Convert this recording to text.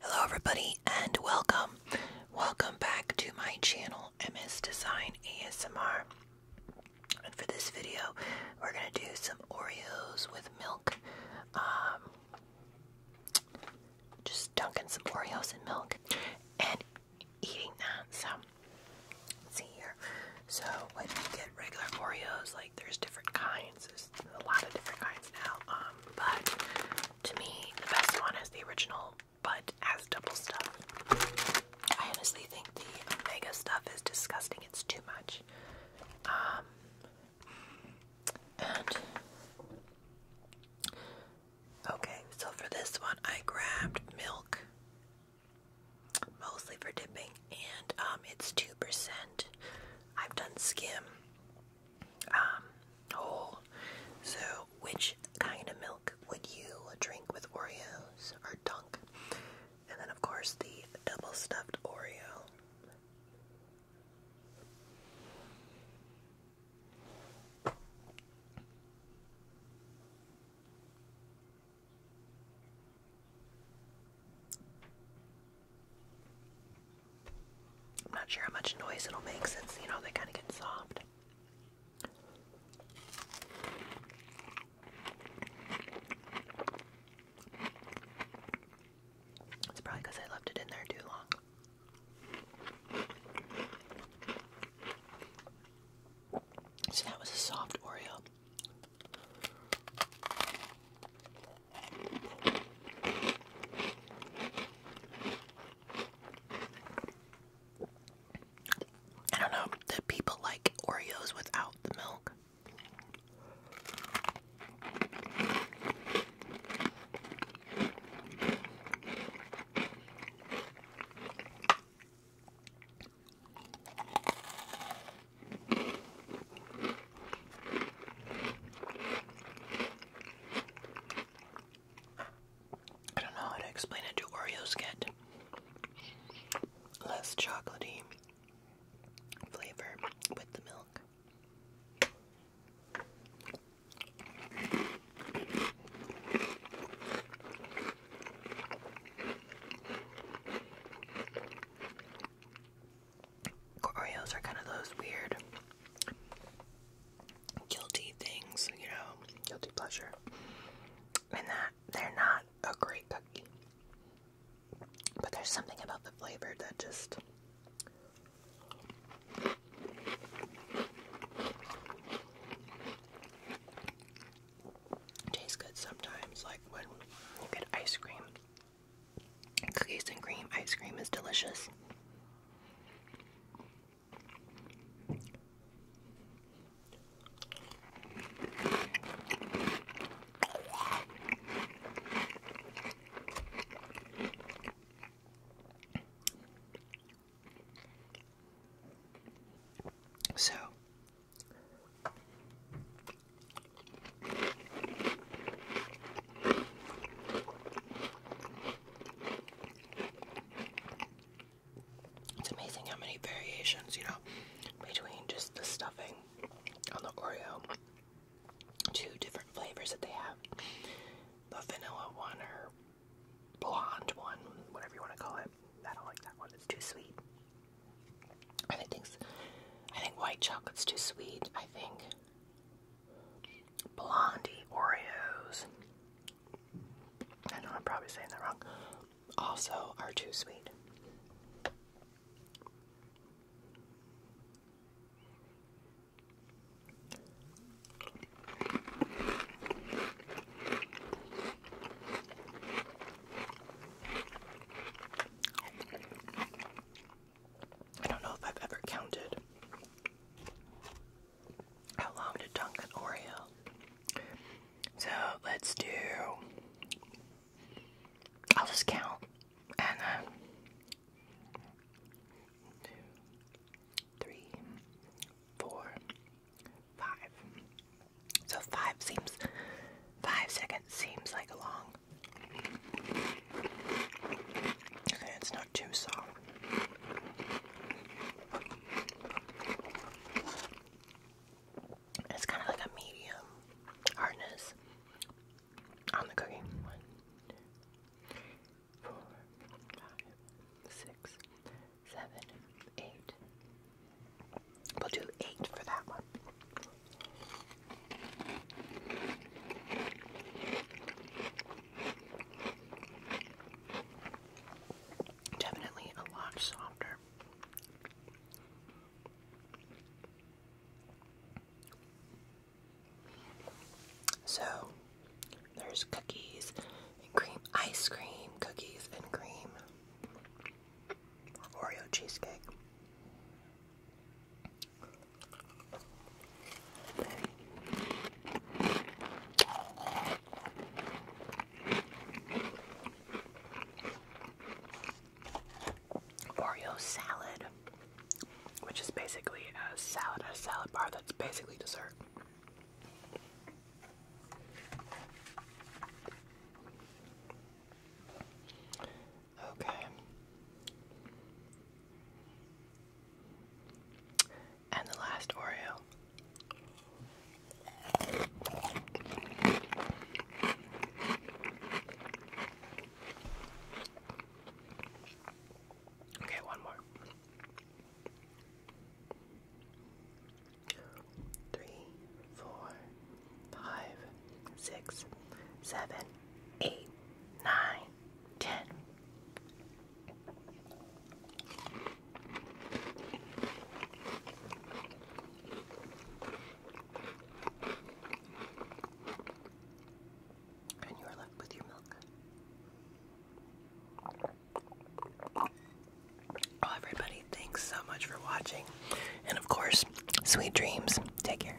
Hello everybody and welcome. Welcome back to my channel MS Design ASMR. And for this video, we're going to do some Oreos with milk. Um, just dunking some Oreos in milk. And eating that. So see here. So when you get regular Oreos, like there's different kinds. There's a lot of different kinds now. Um, but to me, the best one is the original, but as double stuff. I honestly think the mega stuff is disgusting. It's too much. Um, and Okay, so for this one, I grabbed milk, mostly for dipping, and um, it's 2%. I've done skim, um, whole. So, which kind of milk would you drink with Oreos or Dunk? And then, of course, the double stuffed Oreo. I'm not sure how much noise it'll make since, you know, they kind of get soft. It's probably because I left it in there too long. So that was a soft Oreo. I don't know, do people like Oreos without the milk? I don't know how to explain it. Do Oreos get less chocolatey flavor with the milk? Oreos are kind of those weird guilty things, you know, guilty pleasure. And that they're not a great cookie. But there's something about the flavor that just. Tastes good sometimes, like when you get ice cream. Cookies and cream ice cream is delicious. So it's amazing how many variations, you know, between just the stuffing on the Oreo two different flavors that they have the vanilla one or blonde one, whatever you want to call it. I don't like that one, it's too sweet. I think I think white chocolate's too sweet. I think blondie Oreos. I know I'm probably saying that wrong also are too sweet. I don't know if I've ever counted how long to dunk an Oreo. So let's do. I'll just count and then. So five seems. Five seconds seems like a long. Okay, it's not too soft. It's kind of like a medium hardness on the cookie. One, four, five, six, seven, eight. We'll do eight for that one. Definitely a lot softer. So, there's cookies and cream, ice cream, cookies and cream, Oreo cheesecake. Oreo salad, which is basically a salad, a salad bar that's basically dessert. Okay and the last Oreo. Okay, one more. Three, four, five, six, seven, eight, nine, ten. And you are left with your milk. Well, everybody, thanks so much for watching. And of course, sweet dreams. Take care.